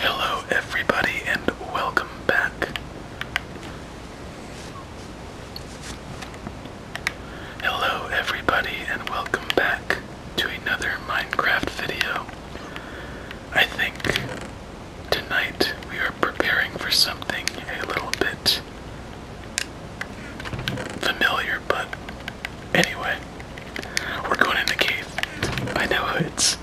Hello, everybody, and welcome back. Hello, everybody, and welcome back to another Minecraft video. I think tonight we are preparing for something a little bit familiar but Anyway, we're going in the cave. I know it's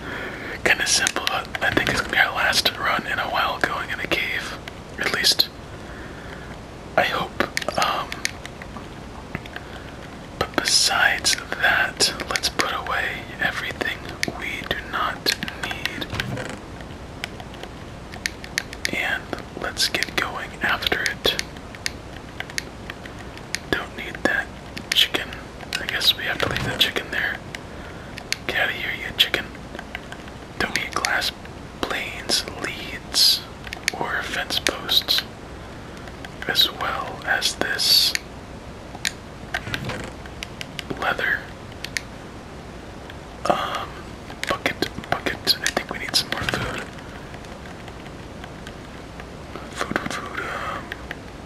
kind of simple, but I think it's gonna be our last run in a while going in the cave. At least, I hope. Um, but besides that, let's put away everything we do not need. And let's get going after it. Don't need that chicken. I guess we have to leave that chicken there. Get out of here, you chicken. Don't need glass planes, leads, or fence posts, as well as this leather. Um, bucket, bucket. I think we need some more food. Food, food, um,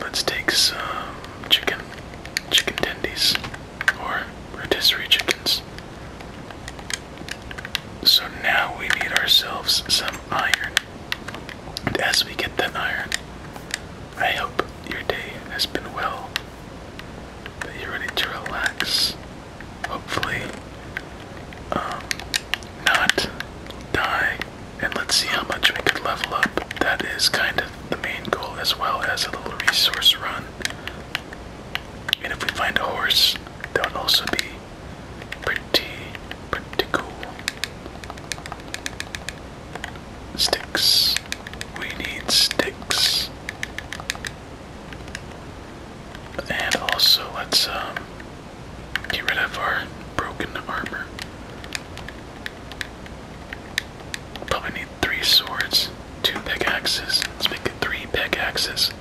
let's take some chicken, chicken tendies, or rotisserie chickens. So now we need ourselves some iron. And as we get that iron, I hope your day has been well, that you're ready to relax. Hopefully, um, not die and let's see how much we could level up. That is kind of the main goal, as well as a little resource run. And if we find a horse, that would also be pretty, pretty cool. Sticks. We need sticks. And also, let's um, get rid of our broken armor. Probably need three swords, two pickaxes. Let's make it three pickaxes.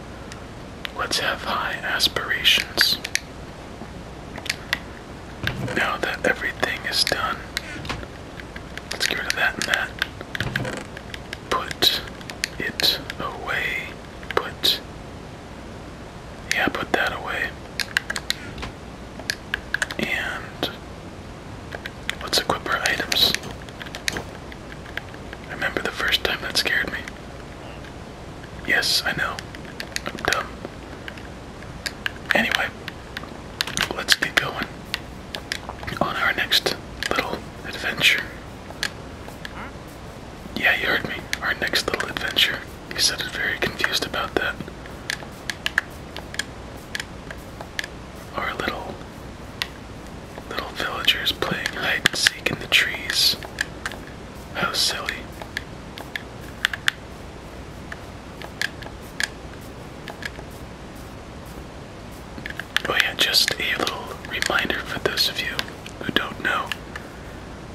Let's have high aspirations. Now that everything is done, let's get rid of that and that. Put it away put yeah put that away and let's equip our items I remember the first time that scared me yes I know I'm dumb anyway let's get going on our next little adventure yeah, you heard me. Our next little adventure. He sounded very confused about that. Our little little villagers playing hide and seek in the trees. How silly. Oh yeah, just a little reminder for those of you who don't know.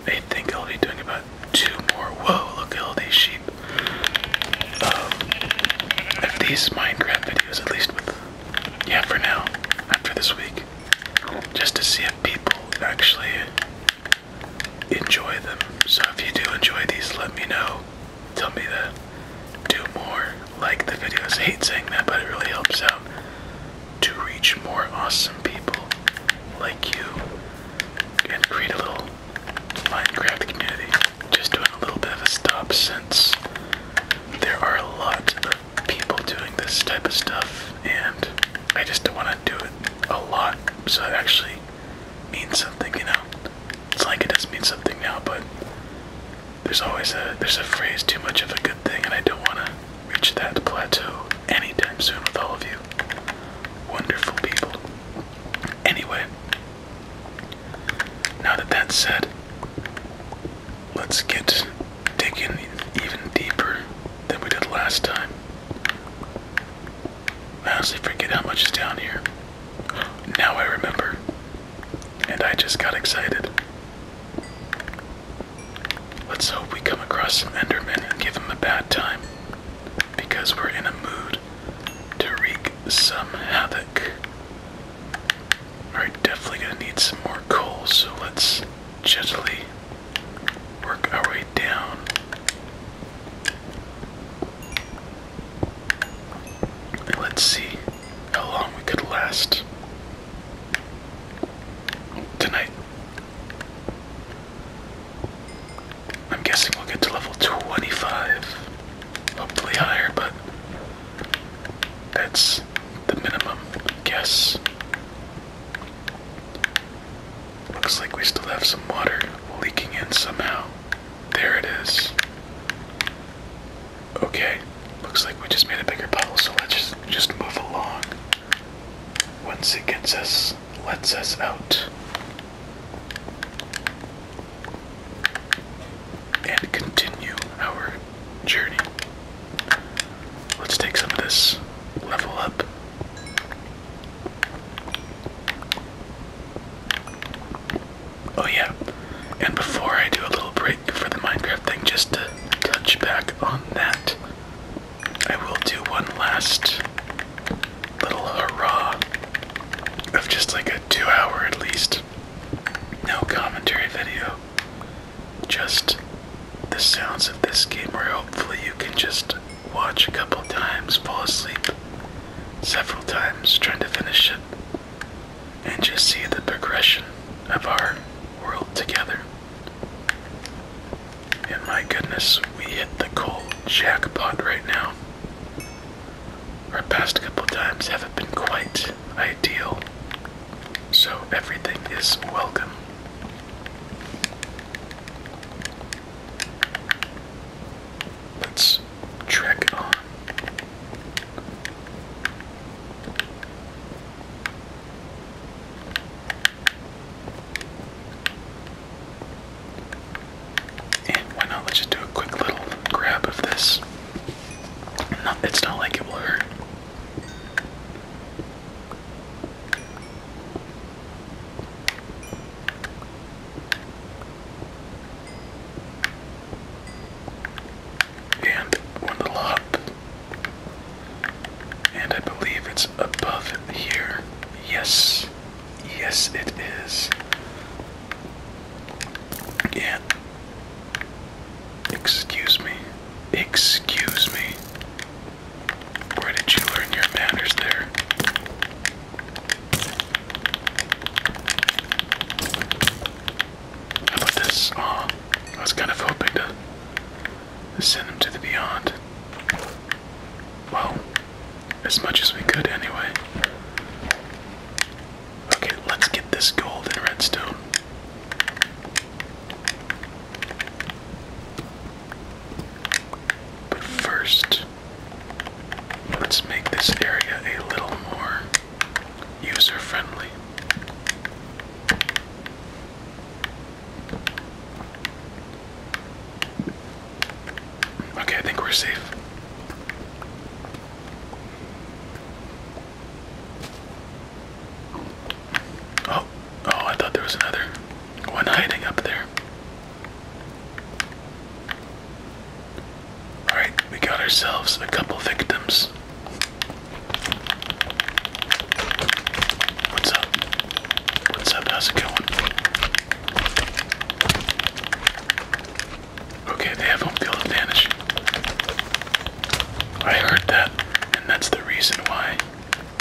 I think I'll be doing about two more. Whoa, look at all these sheep. Um, if these Minecraft videos, at least with, yeah, for now, after this week, just to see if people actually enjoy them. So if you do enjoy these, let me know. Tell me that. do more, like the videos. hate saying that, but it really helps out to reach more awesome people like you and create a little Minecraft community. Just doing a little bit of a stop since there are a lot of people doing this type of stuff and I just don't want to do it a lot so it actually means something, you know? It's like it does mean something now, but there's always a there's a phrase too much of a good thing and I don't wanna reach that plateau anytime soon with all of you. Wonderful people. Anyway, now that that's said, let's get digging even deeper than we did last time. I honestly forget how much is down here. Now I remember. And I just got excited. Let's hope we come across some Enderman and give them a bad time. Because we're in a mood to wreak some havoc. Alright, definitely gonna need some more coal, so let's gently work our way down. let's see how long we could last tonight. I'm guessing we'll get to level 25. Hopefully higher, but that's the minimum guess. Looks like we still have some water leaking in somehow. There it is. Okay, looks like we just made a bigger puddle, so let's just, just move along once it gets us, lets us out. And continue our journey. Let's take some of this level up. Oh, yeah. And before I do a little break for the Minecraft thing, just to touch back on that, I will do one last little hurrah of just like a two hour at least. No commentary video. Just the sounds of this game where hopefully you can just watch a couple times, fall asleep several times trying to finish it, and just see the progression of our world together. And my goodness, we hit the cold jackpot right now. Our past couple times haven't been quite ideal, so everything is welcome. Let's trek on. And why not let's just do a quick little grab of this. it's not like it will hurt. And one and I believe it's above here. Yes. Yes, it is. Yeah. Excuse me. Excuse me. Where did you learn your manners there? How about this? Oh, I was kind of hoping to Send them to the beyond. Well, as much as we could anyway. Okay, let's get this gold and redstone. But first, let's make this area a little more user friendly. Okay, I think we're safe. Oh, oh, I thought there was another one hiding up there. Alright, we got ourselves a couple victims. What's up? What's up? How's it going? Okay, they have home field advantage. I heard that, and that's the reason why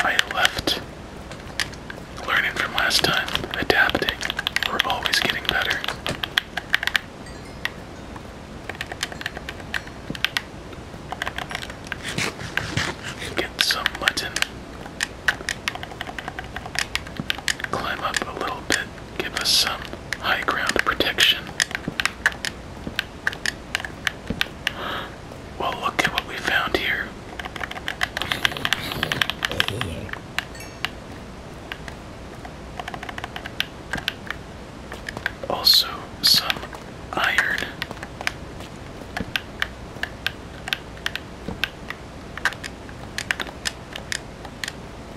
I left learning from last time, adapting. We're always getting better. Get some mutton. Climb up a little bit. Give us some high ground protection. Well, look at what we found here also some iron.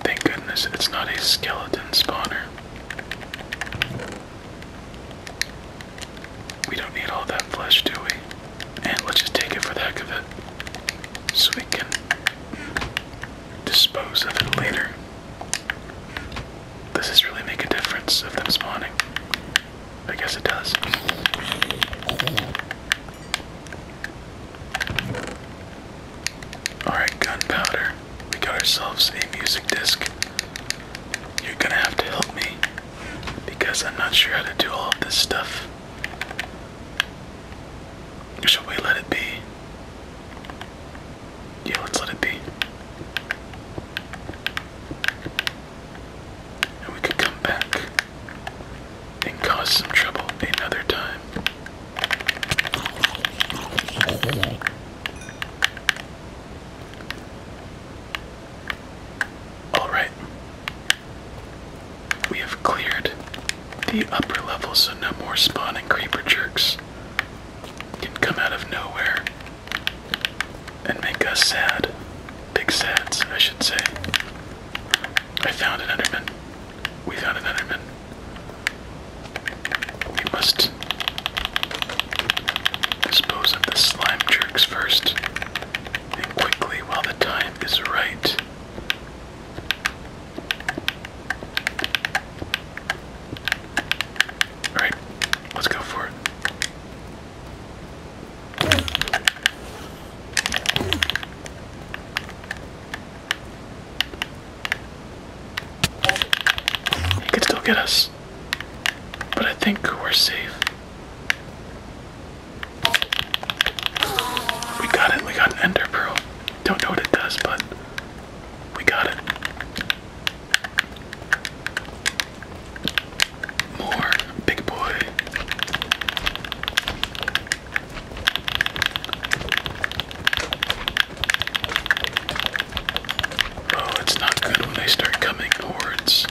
Thank goodness it's not a skeleton spawner. We don't need all that flesh, do we? And let's just take it for the heck of it. So we can dispose of it later. Does this really make a difference of them spawning? I guess it does. Alright, gunpowder. We got ourselves a music disc. You're gonna have to help me because I'm not sure how to do all this stuff. Should we let it be? Yeah, let's let it be. And we could come back and cause some trouble another time. Alright. We have cleared the upper level so no more spawning creeper jerks can come out of nowhere and make us sad. Big sads, I should say. I found an Enderman. We found an Enderman. We must dispose of the slime jerks first, and quickly while the time is right. Alright, let's go for it. He could still get us, but I think we're safe. We got it, we got an ender pearl. Don't know what it does, but we got it. More big boy. Oh, it's not good when they start coming hordes.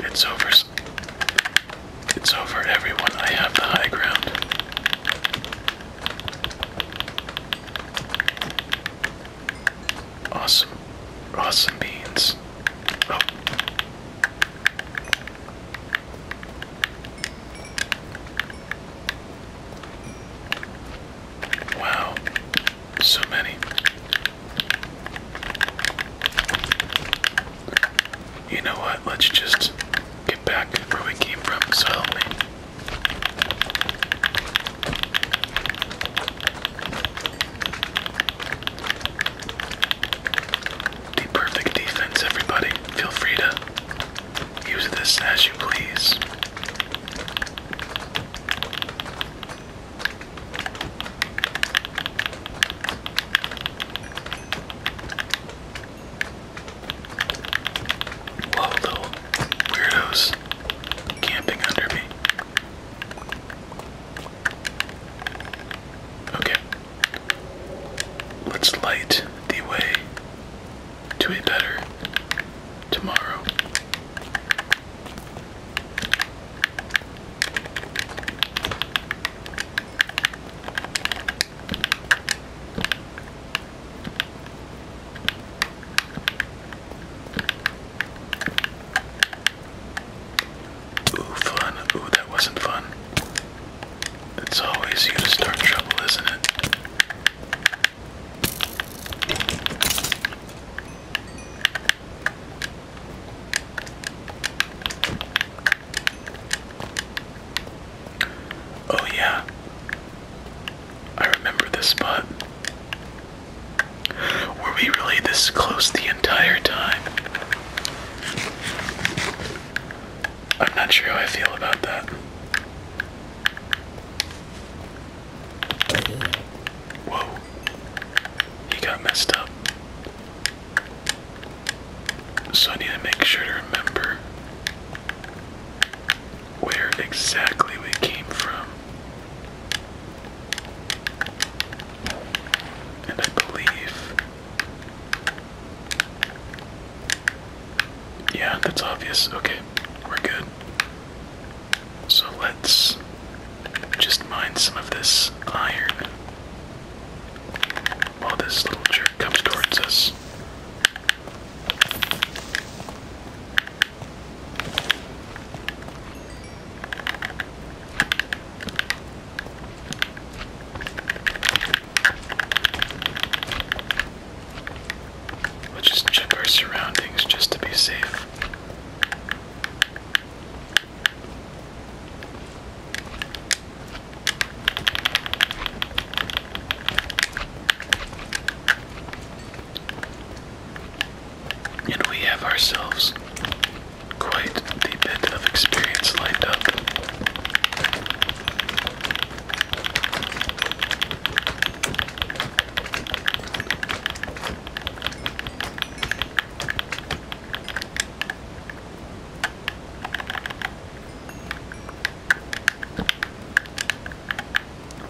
It's over. It's over, everyone. I have the high ground. Awesome. Awesome beans. Oh. Wow. So many. You know what? Let's just get back where we came from, so help me. The perfect defense, everybody. Feel free to use this as you please. Love little weirdos camping under me. Okay. Let's light the way to a better tomorrow. Ooh, fun. Ooh, that wasn't fun. It's always you to start trouble, isn't it? Oh, yeah. I remember this spot. Were we really this close the entire time? I'm not sure how I feel about that. Whoa. He got messed up. So I make sure to remember where exactly we came from. And I believe. Yeah, that's obvious. Okay, we're good. So let's just mine some of this iron while this little jerk comes towards us. Let's just check our surroundings just to be safe. And we have ourselves quite the bit of experience lined up.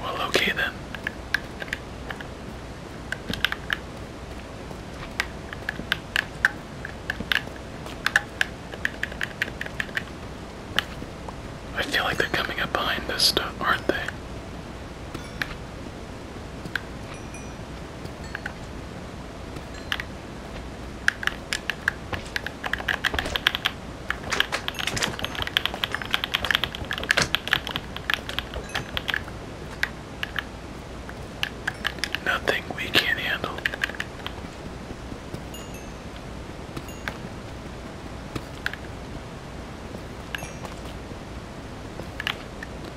Well, okay then. I feel like they're coming up behind this stuff, aren't they? Nothing we can't handle.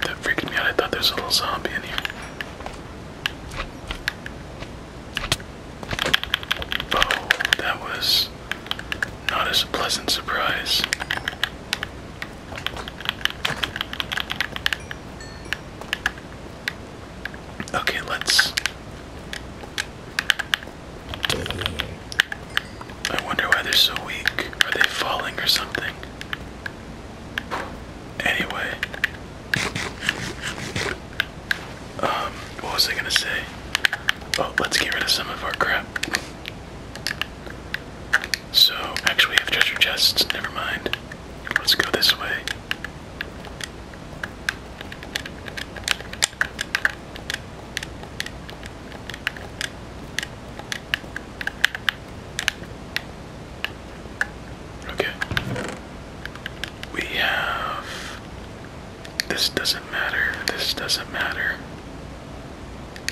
That freaked me out. I thought there's a little zombie in here. Oh, that was not as a pleasant surprise. Okay, let's. I wonder why they're so weak. Are they falling or something? Anyway, um, what was I gonna say? Oh, let's get rid of some of our crap. So, actually, we have treasure chests. Never mind. Let's go this way. Okay. We have. This doesn't matter. This doesn't matter.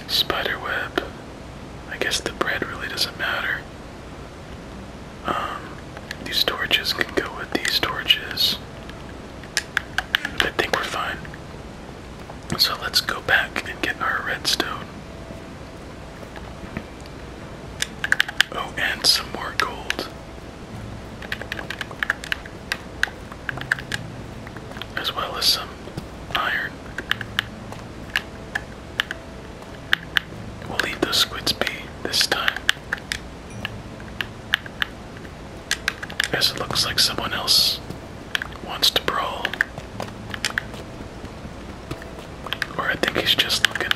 Spiderweb. I guess the bread really doesn't matter. Um, these torches can go with these torches. I think we're fine. So let's go back and get our redstone. Oh, and some more gold as well as some iron. We'll leave those squids be this time. As it looks like someone else wants to brawl. Or I think he's just looking.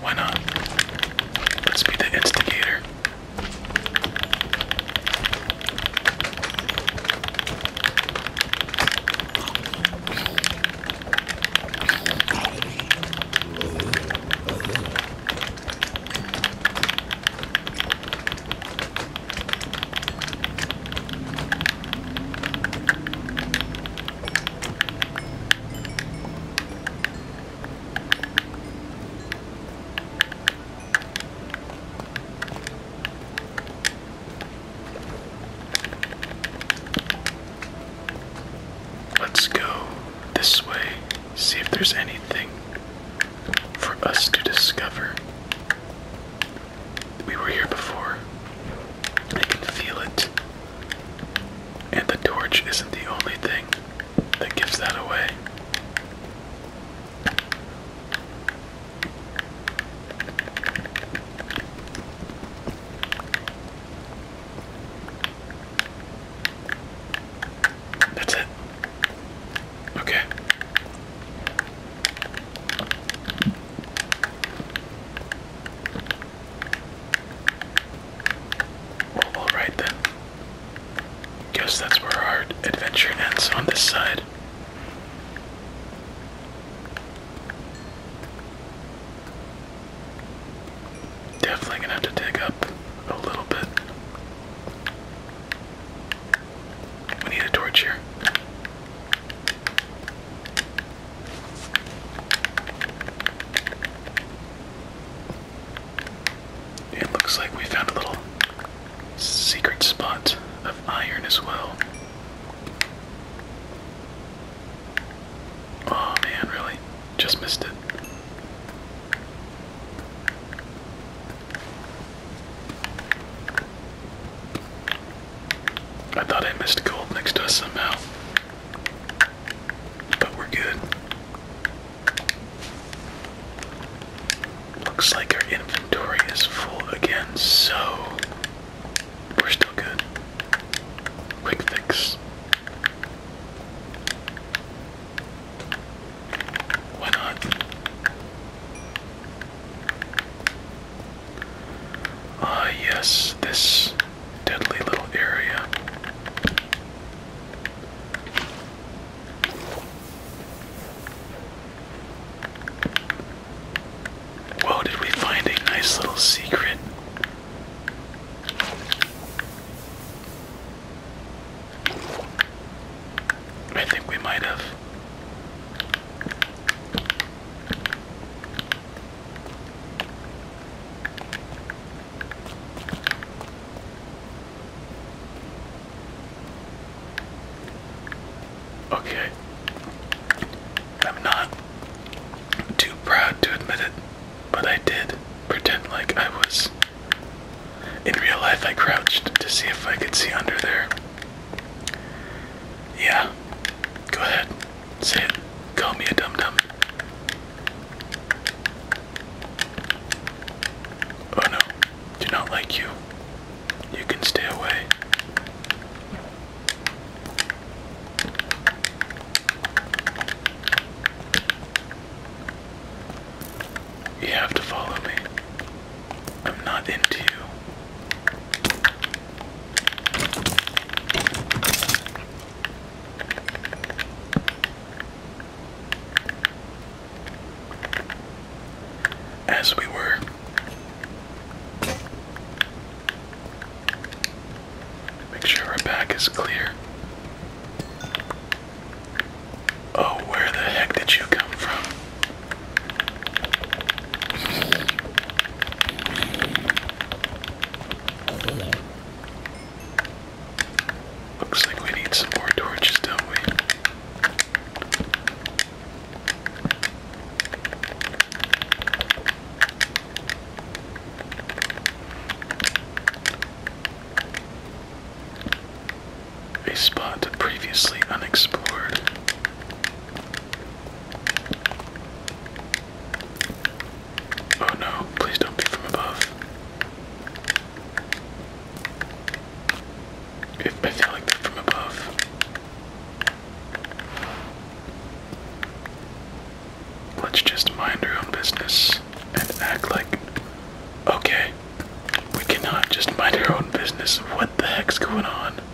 Why not? Let's be the instigator. Let's go this way, see if there's anything for us to discover. We were here before. I can feel it. And the torch isn't the only thing that gives that away. That's it. Okay alright then. Guess that's where our adventure ends on this side. Definitely gonna have to dig up a little bit. We need a torch here. It looks like we found a little secret spot of iron as well. Oh man, really? Just missed it. I thought I missed gold next to us somehow. But we're good. Looks like our inventory is full again, so we're still good. Quick fix. Why not? Ah, yes, this deadly little area. Whoa, did we find a nice little secret? I think we might have. Okay. I'm not too proud to admit it, but I did pretend like I was. In real life, I crouched to see if I could see under there. Yeah. Go ahead. Say it. Call me a dum dum. Oh no. Do not like you. You can stay away. You have to follow me. I'm not into as we were. Make sure our back is clear. Oh, where the heck did you come from? Looks like we need some more torches, don't we? a spot previously unexplored. Oh no, please don't be from above. I feel like they're from above. Let's just mind our own business and act like. Okay, we cannot just mind our own business. What the heck's going on?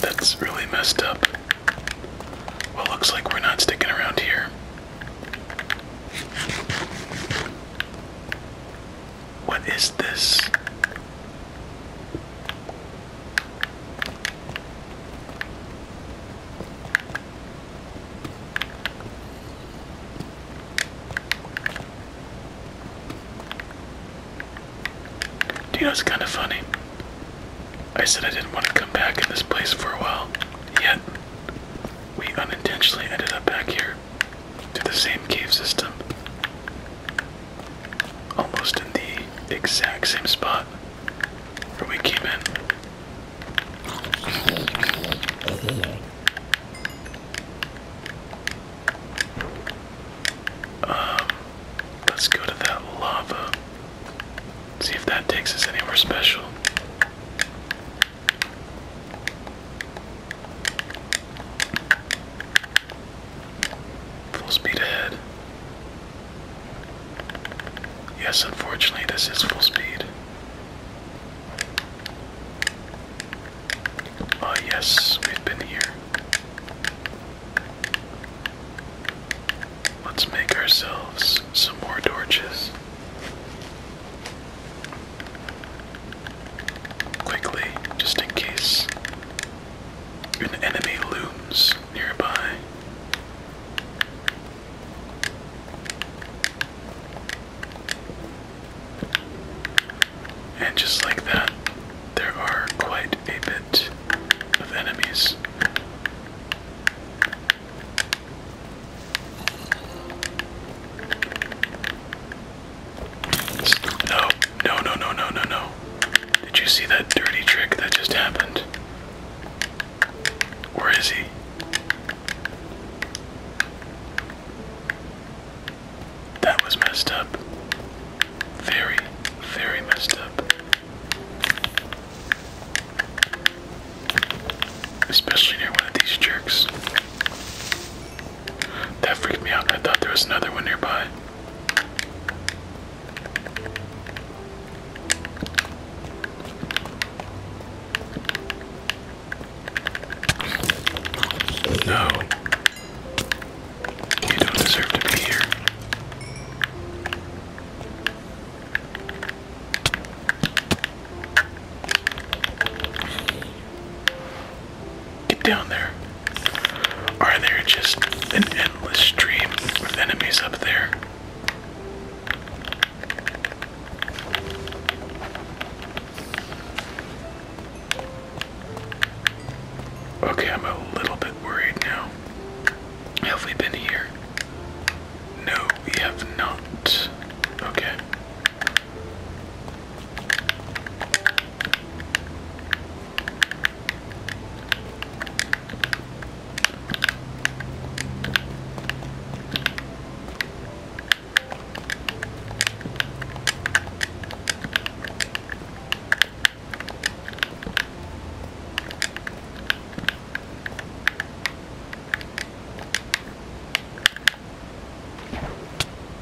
That's really messed up. Well, looks like we're not sticking around here. What is this? Do you know it's kind of funny? I said I didn't want to come back in this place for a while, yet we unintentionally ended up back here to the same cave system. Almost in the exact same spot where we came in. Um, let's go to that lava. See if that takes us anywhere special. Full speed ahead. Yes, unfortunately, this is full speed. Ah, yes, we've been here. Let's make ourselves some more torches. Quickly, just in case an enemy looms nearby. And just like that, there are quite a bit of enemies. No, no, no, no, no, no, no. Did you see that dirty trick that just happened? Where is he? That was messed up. Very, very messed up. Especially near one of these jerks. That freaked me out. I thought there was another one nearby. No. You don't deserve to be here. Get down there. Are there just an endless stream of enemies up there? Okay, I'm a little bit worried now. Have we been here? No, we have not. Okay.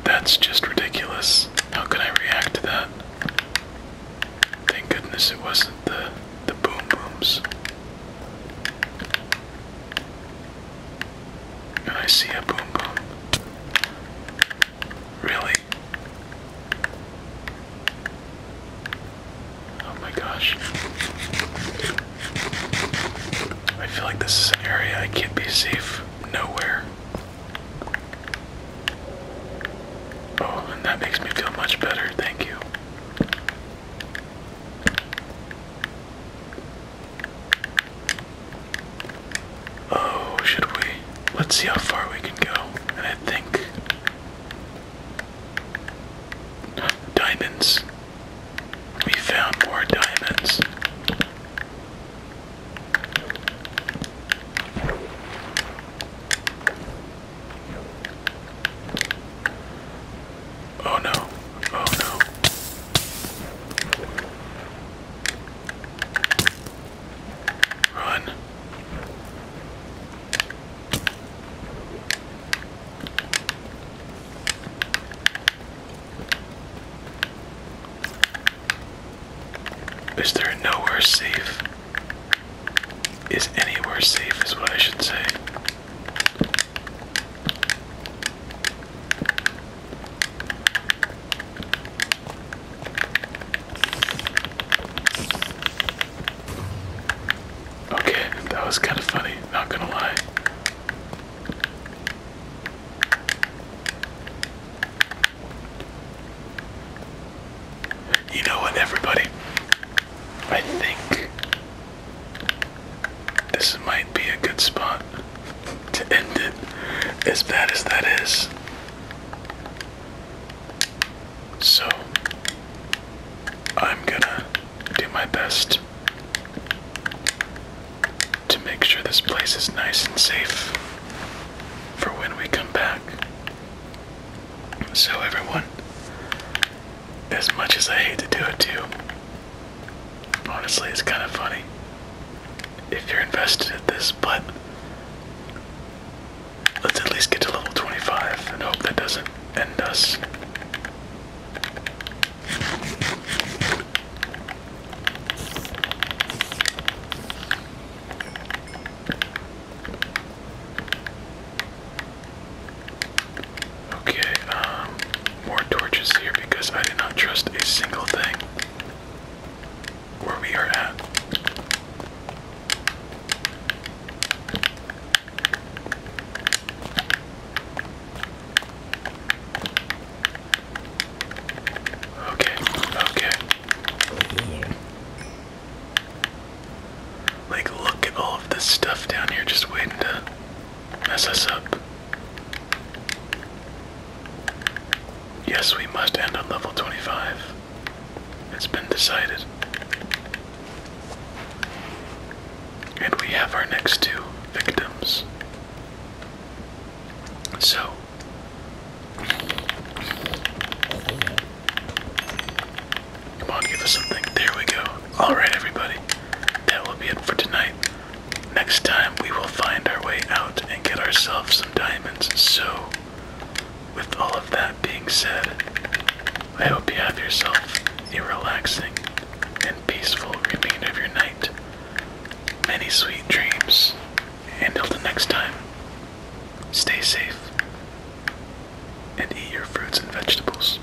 That's just ridiculous. How could I react to that? Thank goodness it wasn't the the boom booms. And I see a boom boom. Really? Oh my gosh. I feel like this is an area I can't be safe nowhere. Oh, and that makes me feel much better, thank you. Oh, should we? Let's see how far we can go. And I think. Diamonds. We found more diamonds. Oh no. Oh no. Run. Is there nowhere safe? Is anywhere safe, is what I should say. Okay, that was kind of funny, not gonna lie. You know what, everybody? I think this might be a good spot to end it, as bad as that is. So, I'm gonna do my best to make sure this place is nice and safe for when we come back. So, everyone, as much as I hate to do it to you, honestly, it's kind of funny if you're invested in this, but let's at least get to level 25 and hope that doesn't end us. Okay, um, more torches here because I did not trust a single thing where we are at. Okay, okay. Like, look at all of this stuff down here just waiting to mess us up. Yes, we must end on level 25. It's been decided. And we have our next two victims. So. Come on, give us something. There we go. Alright, everybody. That will be it for tonight. Next time we will find our way out and get ourselves some diamonds. So, with all of that being said, I hope you have yourself a relaxing and peaceful remainder of your night. Many sweet dreams. And until next time, stay safe and eat your fruits and vegetables.